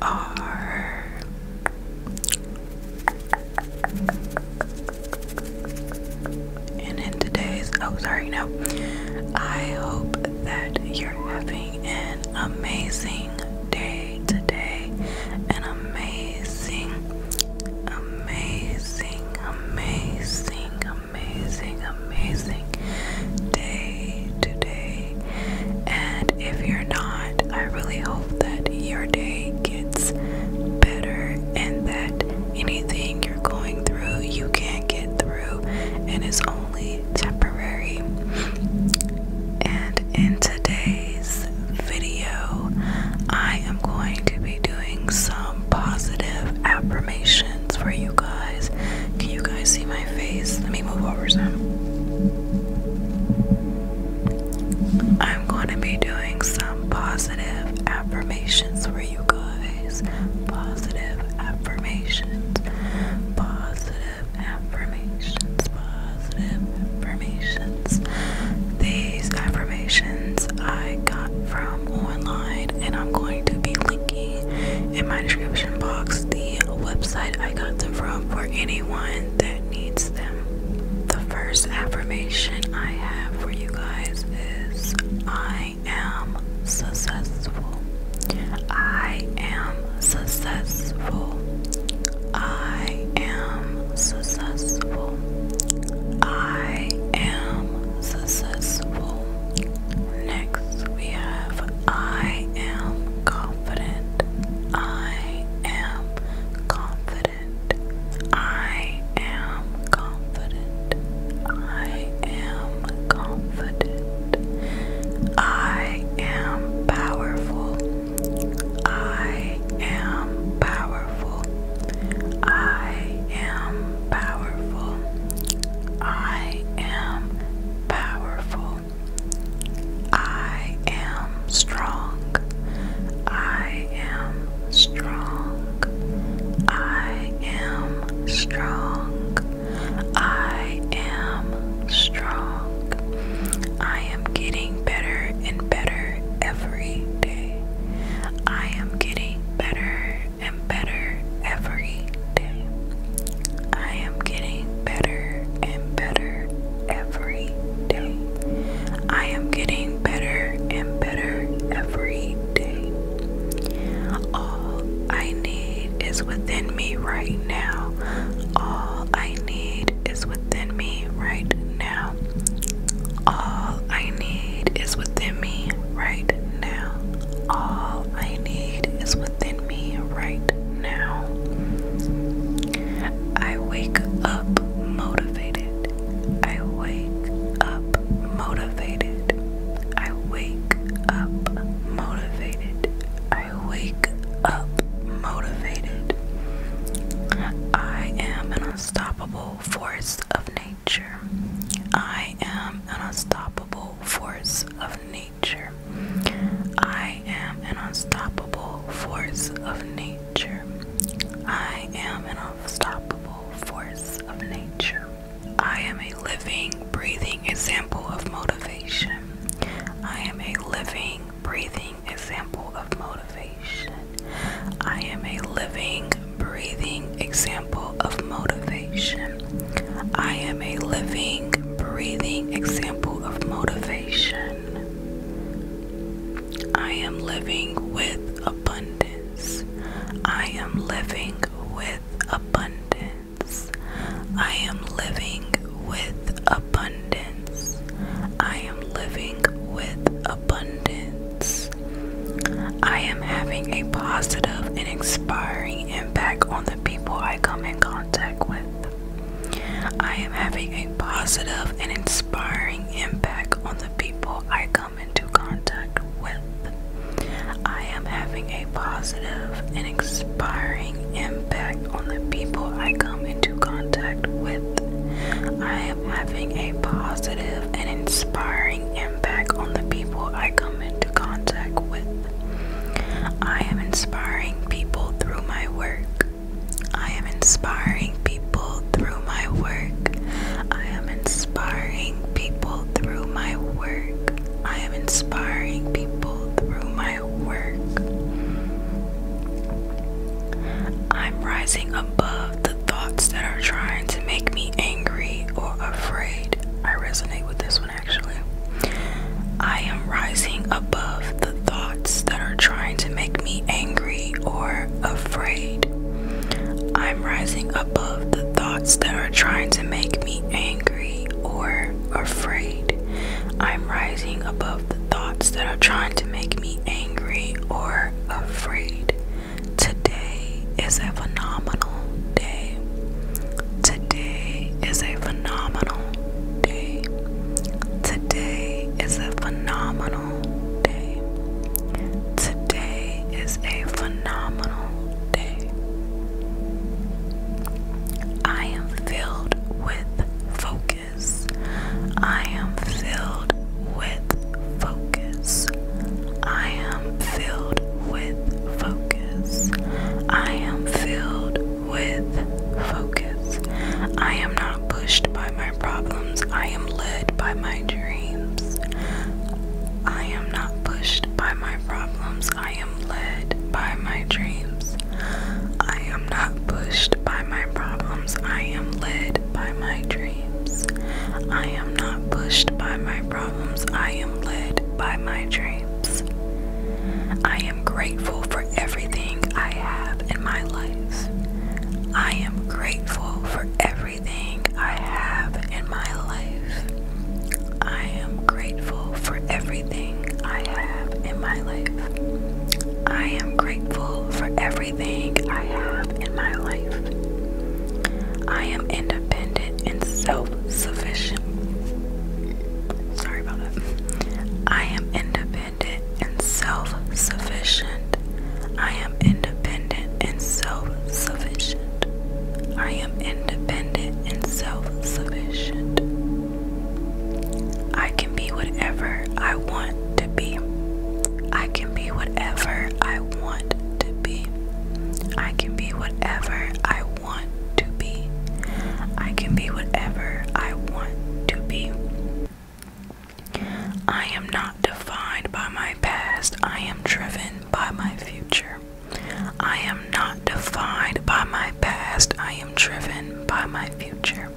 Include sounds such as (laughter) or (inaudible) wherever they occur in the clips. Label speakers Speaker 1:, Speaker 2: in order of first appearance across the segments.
Speaker 1: R and in today's oh sorry no I hope that you're having an amazing day today an amazing amazing amazing amazing amazing day today and if you're not, I really hope that your day gets better and that anything you're going through, you can get through and it's only temporary. And in today's video, I am going to be doing some positive affirmations for you guys. Can you guys see my let me move over some. I'm going to be doing some positive affirmations for you guys. Positive affirmations. Positive affirmations. Positive affirmations. These affirmations I got from online, and I'm going to be linking in my description box the website I got them from for anyone that needs them. The first affirmation I have for you guys is I am successful. I am successful. I am successful. I am successful. Next, we have I am confident. I am confident. I am confident. I am confident. I am powerful. I am powerful. I am powerful. I am powerful. I am strong. I am strong. I am strong. I am strong. I am getting better and better every day. I am getting better and better every day. I am getting better and better every day. I am getting better and better every day. All I need is within me right now. All I need is within me right now. All I need is within me right now. All I need is within me right now. I wake up motivated. I wake up motivated. I wake up motivated. I wake up motivated. I am an unstoppable force of nature. I am an unstoppable force of nature. I am an unstoppable force of nature. I am an unstoppable force of nature. I am a living, breathing example of motivation. I am a living, breathing example of motivation. I am a living, breathing example of motivation. I am a living, breathing example of motivation. I am living with abundance. I am living with abundance. I am living with abundance. I am living with abundance. I am having a positive and inspiring impact on the people I come in contact with. I am having a positive and inspiring impact on the people I come into contact with. I am having a positive and inspiring impact on the people I come into contact with. I am having a positive and inspiring impact on the people I come into contact with. I am inspiring people through my work. I am inspiring people through my work. I am inspiring people through my work. I am inspiring people through my work. I'm rising above the thoughts that are trying to make me angry or afraid. I resonate with this one actually. I am rising above the thoughts that are trying to make me angry or afraid. I'm rising above the thoughts that are trying to make me angry or afraid. I'm rising above the thoughts that are trying to make me angry or afraid. Today is a phenomenal day today. is a phenomenal day. Today is a phenomenal day. Today is a phenomenal day. I am filled with focus. I am filled with focus. I am filled with focus focus. I am filled with focus. I am not pushed by my problems. I am led by my dreams. I am not pushed by my problems. I am led by my dreams. I am not pushed by my problems. I am led by my dreams. I am not pushed by my problems. I am led by my dreams. I am grateful for everything I have in my life. I am grateful for everything I have in my life. I am grateful for everything I have in my life. I am grateful for everything I have in my life. I am independent and self sufficient. Sorry about that. I am independent and self sufficient. I am independent and self sufficient. I am independent and self sufficient. I can be whatever I want to be. I can be whatever I want to be. I can be whatever I want to be. I can be whatever I want to be. I am not defined by my past. I am driven by my future. I am not defined by my past. I am driven by my future.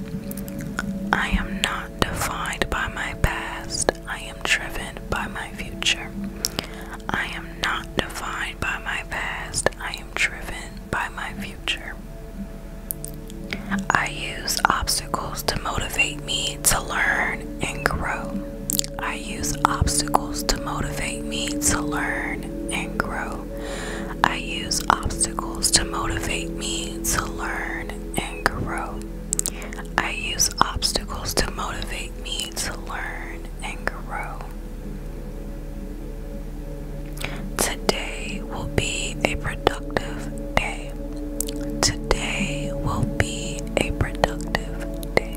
Speaker 1: I am not defined by my past. I am driven by my future. I am not defined by my past, I am driven by my future. I use obstacles to motivate me to learn and grow. I use obstacles to motivate me to learn and grow. I use obstacles to motivate me to learn and grow. I use obstacles to motivate me to learn and grow. Today will be a productive day. Today will be a productive day.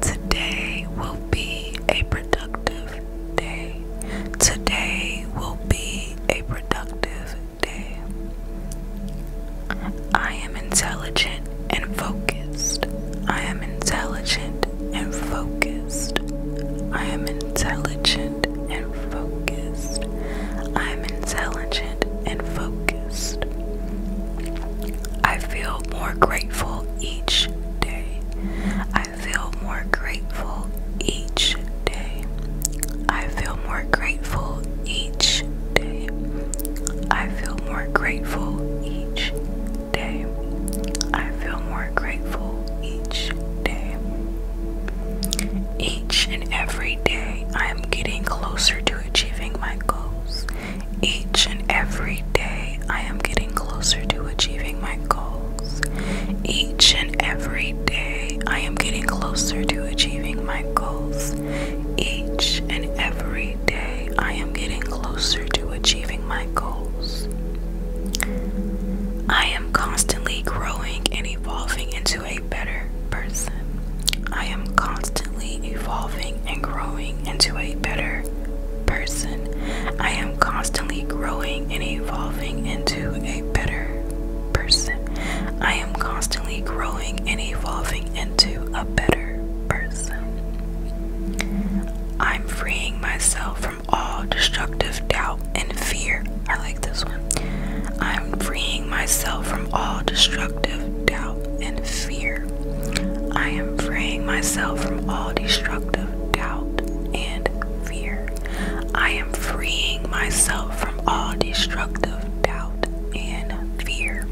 Speaker 1: Today will be a productive day. Today will be a productive day. I am intelligent and focused. I am intelligent and focused. I am intelligent and focused. I am intelligent and focused. I feel more grateful each day. I feel more grateful each day. I feel more grateful each day. I feel more grateful each day. I feel more grateful each day. Each and every day, I am getting closer to achieving my goals. Each and every day, I am getting closer to achieving my goals. Each and every day, I am getting closer to achieving my goals. Each and every day I am getting closer to achieving my goals. I am constantly growing and evolving into a better person. I am constantly evolving and growing into a better person. I am constantly growing and evolving into a better person. I am constantly growing and evolving into a better person. I'm freeing myself from all destructive doubt and fear. I like this one. I'm freeing myself from all destructive doubt and fear. I am freeing myself from all destructive doubt and fear. I am freeing myself from all destructive doubt and fear.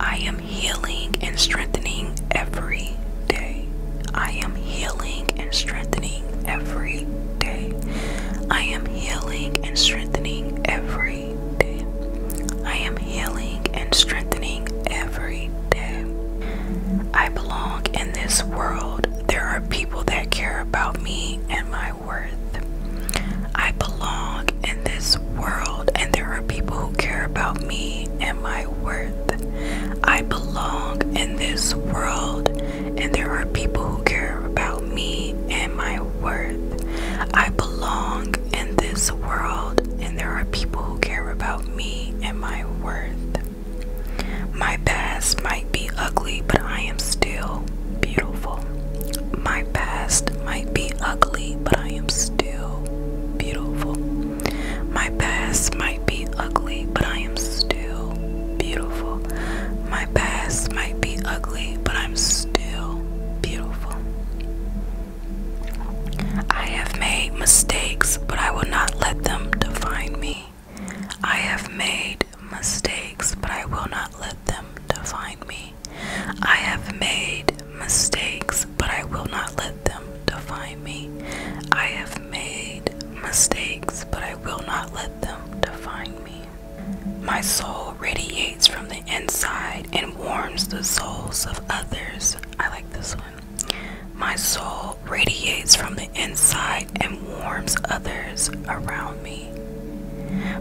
Speaker 1: I am healing and strengthening every day. I am healing and strengthening every day. I am healing and strengthening every day. I am healing and strengthening every day. I belong in this world. There are people that care about me and my worth. I belong in this world, and there are people who care about me and my worth. I belong in this world, and there are people who care about me and my worth. I belong in this world, and there are people who care about me and my worth. My past might be ugly, but I am still beautiful. My past might be ugly, but I am still beautiful. My past might be ugly, but I am still beautiful. My past might be ugly, but I'm still beautiful. I have made mistakes, but I will not let them define me. I have made mistakes, but I will not let them define me. I have made mistakes, but I will not let them define me. I have made mistakes, but I will not let them define me. My soul radiates from the inside and warms the souls of others. I like this one. My soul radiates from the inside and warms others around me.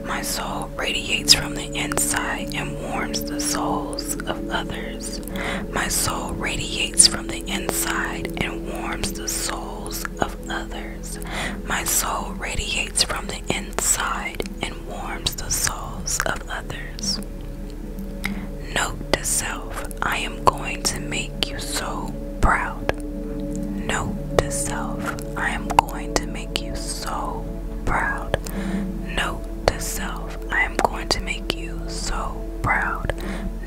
Speaker 1: My soul soul radiates from the inside and warms the souls of others. My soul radiates from the inside and warms the souls of others. My soul radiates from the inside and warms the souls of others. Note to self, I am going to make you so proud. Note to self, I am going to make you so proud. Note to self, I am going to make you so proud.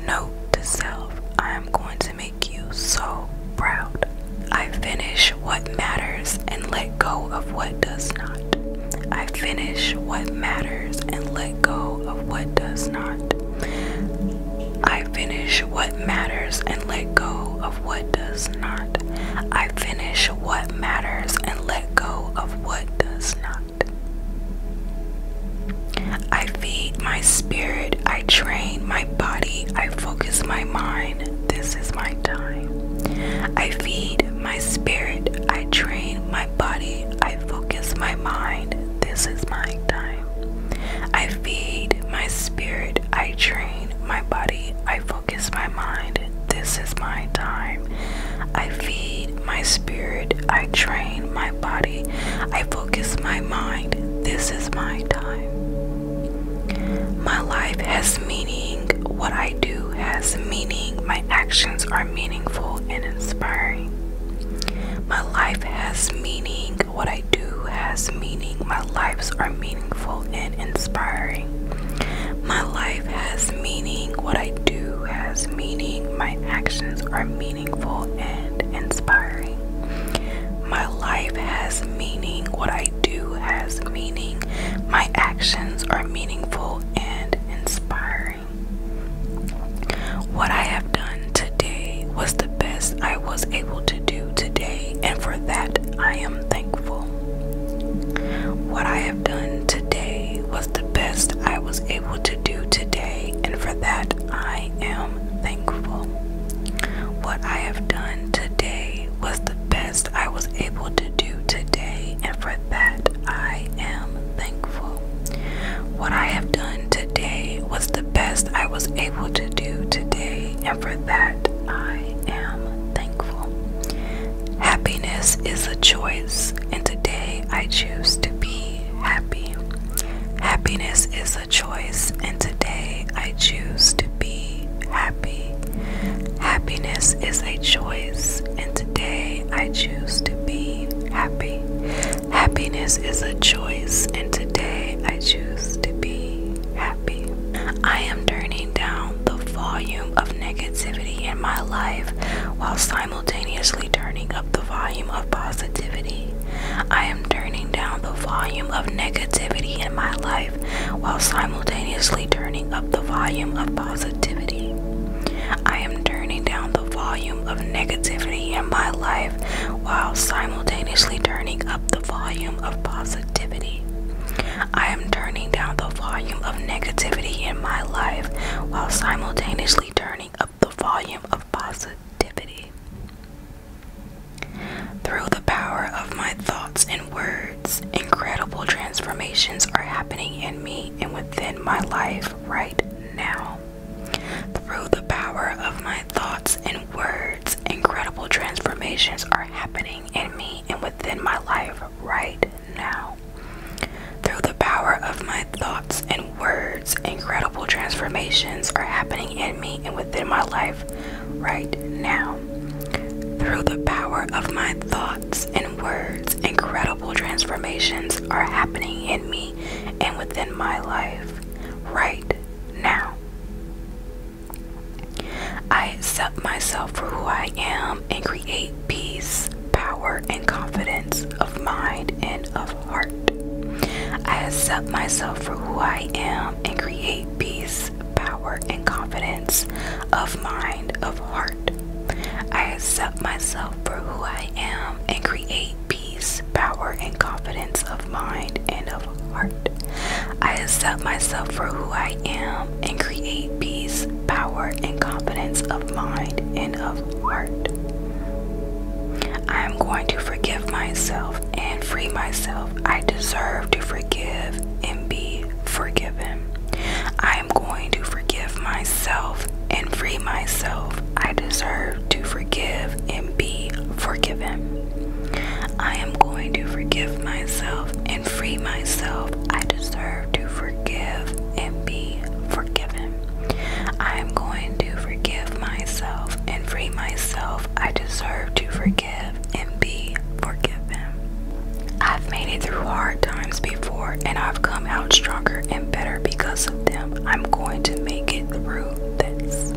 Speaker 1: Note to self, I am going to make you so proud. I finish what matters and let go of what does not. I finish what matters and let go of what does not. I finish what matters and let go of what does not. I finish what matters and let go of what does not. I feed my spirit, I train my body, I focus my mind. This is my time. I feed my spirit, I train my body, I focus my mind. This is my time. I feed my spirit, I train my body, I focus focus my mind. This is my time. I feed my spirit. I train my body. I focus my mind. This is my time. My life has meaning. What I do has meaning. My actions are meaningful and inspiring. My life has meaning. What I do has meaning. My lives are meaningful meaningful and inspiring. My life has meaning, what I do has meaning, my actions are meaningful and inspiring. My life has meaning, what I do has meaning, my actions are meaningful and inspiring. What I have done today was the best I was able to do today, and for that I am thankful. What I have done today was the best I was able to do today, and for that I am thankful. What I have done today was the best I was able to do today, and for that I am thankful. What I have done today was the best I was able to do today, and for that I am thankful. Happiness is a choice, and today I choose to be happy. Happiness is a choice, and today I choose to be happy. Happiness is a choice, and today I choose to be happy. Happiness is a choice, and today I choose to be happy. I am turning down the volume of negativity in my life while simultaneously turning up the volume of positivity. I am turning down the volume of negativity in my life while simultaneously turning up the volume of positivity. I am turning down the volume of negativity in my life while simultaneously turning up the volume of positivity. I am turning down the volume of negativity in my life while simultaneously turning up the volume of positivity. Through the power of my thoughts and words, incredible transformations are happening in me and within my life right now. Through the power of my thoughts and words, incredible transformations are happening in me and within my life right now. Through the power of my thoughts and words, incredible transformations are happening in me and within my life right now. Through the power of my thoughts and words, incredible transformations are happening in me and within my life right now. I accept myself for who I am and create peace, power, and confidence of mind and of heart. I accept myself for who I am and create peace, power, and confidence of mind, of heart. I accept myself for who I am and create peace, power, and confidence of mind and of heart. I accept myself for who I am and create peace, power, and confidence of mind and of heart. I am going to forgive myself and free myself. I deserve to forgive and be forgiven. I am going to forgive myself and free myself. I deserve to forgive and be forgiven. I am going to forgive myself and free myself. I deserve to forgive and be forgiven. I am going to forgive myself and free myself. I deserve to forgive and be forgiven. I've made it through hard times before and I've come out stronger and better because of them. I'm going to make it through this.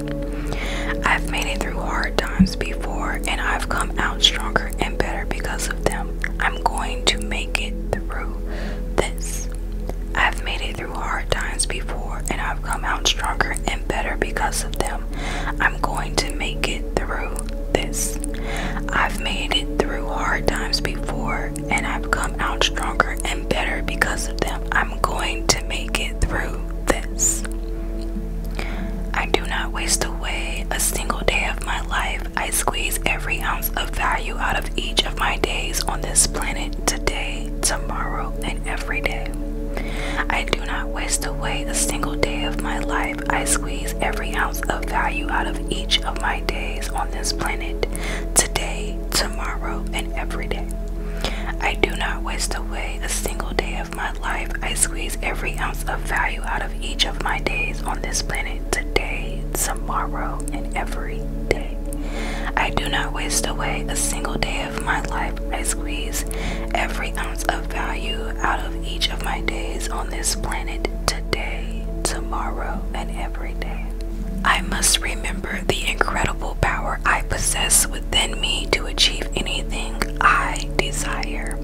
Speaker 1: I've made it through hard times before and I've come out stronger and better because of them. I'm going to make it through this. I've made it through hard times before, and I've come out stronger and better because of them. I'm going to make it through this. I've made it through hard times before, and I've come out stronger and better because of them. I'm going to make it through this. I do not waste away a single day of my life. I squeeze every ounce of value out of each of my days on this planet today, tomorrow, and every day. I do not waste away a single day of my life. I squeeze every ounce of value out of each of my days on this planet today, tomorrow, and every day. I do not waste away a single day of my life. I squeeze every ounce of value out of each of my days on this planet today, tomorrow, and every day. I do not waste away a single day of my life. I squeeze every ounce of value out of each of my days on this planet today, tomorrow, and every day. I must remember the incredible power I possess within me to achieve anything I desire.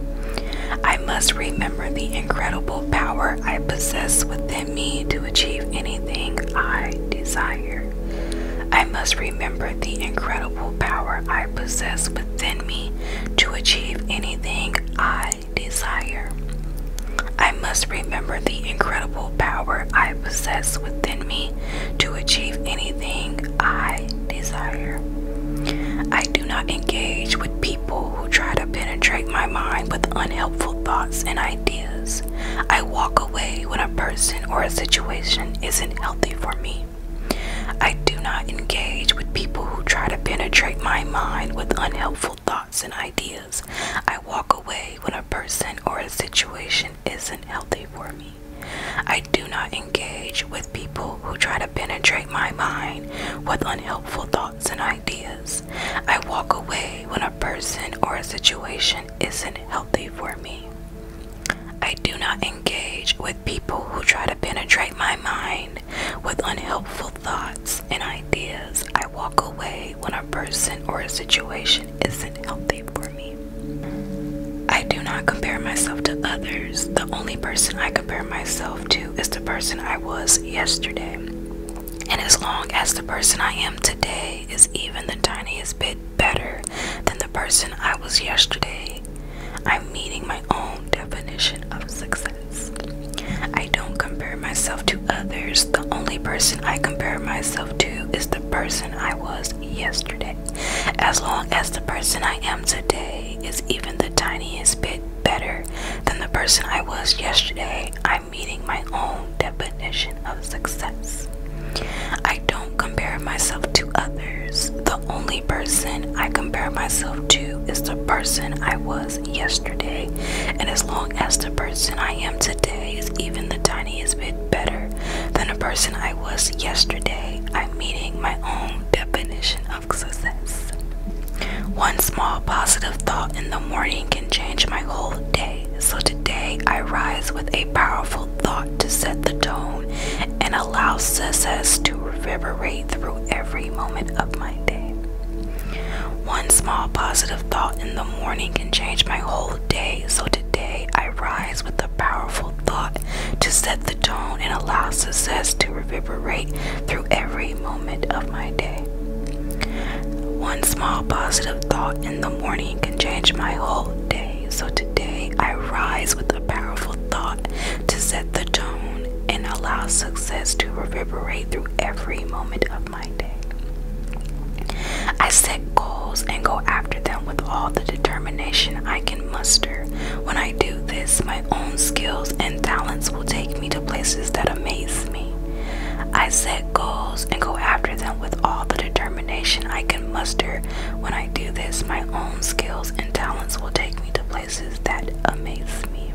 Speaker 1: I must remember the incredible power I possess within me to achieve anything I desire. I must remember the incredible power I possess within me to achieve anything I desire. I must remember the incredible power I possess within me to achieve anything I desire. I do not engage with people who try to penetrate my mind with unhelpful thoughts and ideas. I walk away when a person or a situation isn't healthy for me. I do not engage with people who try to penetrate my mind with unhelpful thoughts and ideas. I walk away when a person or a situation isn't healthy for me. I do not engage with people who try to penetrate my mind with unhelpful thoughts and ideas. I walk away when a person or a situation isn't healthy for me. I do not engage with people who try to penetrate my mind with unhelpful thoughts and ideas. I walk away when a person or a situation isn't healthy for I do not compare myself to others. The only person I compare myself to is the person I was yesterday. And as long as the person I am today is even the tiniest bit better than the person I was yesterday, I'm meeting my own definition of success. I don't compare myself to others. The only person I compare myself to is the person I was yesterday. As long as the person I am today is even the tiniest bit better than the person I was yesterday, I'm meeting my own definition of success. I don't compare myself to others. The only person I compare myself to is the person I was yesterday. And as long as the person I am today is even the tiniest bit better than a person I was yesterday. I'm meeting my own definition of success. One small positive thought in the morning can change my whole day. So today I rise with a powerful thought to set the tone and allow success to reverberate through every moment of my day. One small positive thought in the morning can change my whole day. So today, I rise with a powerful thought to set the tone and allow success to reverberate through every moment of my day. One small positive thought in the morning can change my whole day. So today, I rise with a powerful thought to set the tone and allow success to reverberate through every moment of my day. I set goals and go after them them with all the determination I can muster. When I do this, my own skills and talents will take me to places that amaze me. I set goals and go after them with all the determination I can muster. When I do this, my own skills and talents will take me to places that amaze me.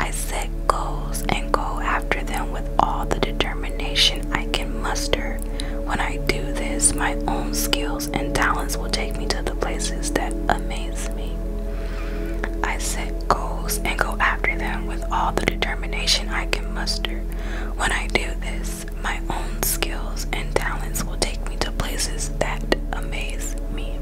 Speaker 1: I set goals and go after them with all the determination I can muster. When I do this, my own skills and talents will take me to the places that amaze me. I set goals and go after them with all the determination I can muster. When I do this, my own skills and talents will take me to places that amaze me.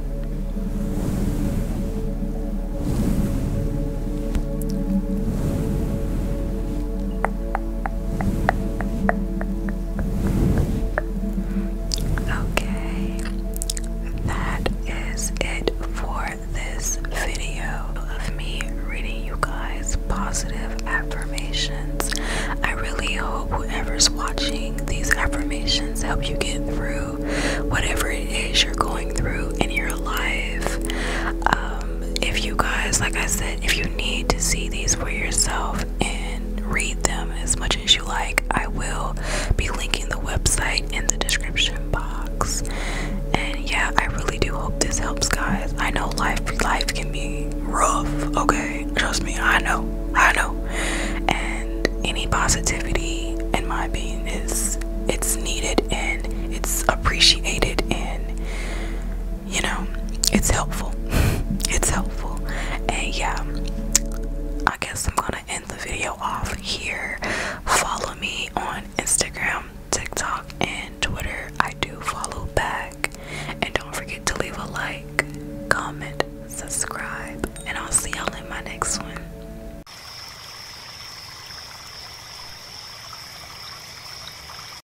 Speaker 1: Okay, that is it for this video of me reading you guys positive affirmations. I really hope whoever's watching these affirmations help you get through whatever it is you're going through in your life. Um, if you guys, like I said, if you need to see these for yourself and read them as much as you like, I will be linking the website in the description box. And yeah, I really do hope this helps, guys. I know life life can be rough, okay? Trust me, I know, I know. And any positivity, in my being is it's needed and it's appreciated in you know, it's helpful. (laughs) it's helpful. And yeah, I guess I'm gonna end the video off here. Follow me on Instagram, TikTok, and Twitter. I do follow back. And don't forget to leave a like, comment, subscribe, and I'll see y'all in my next one.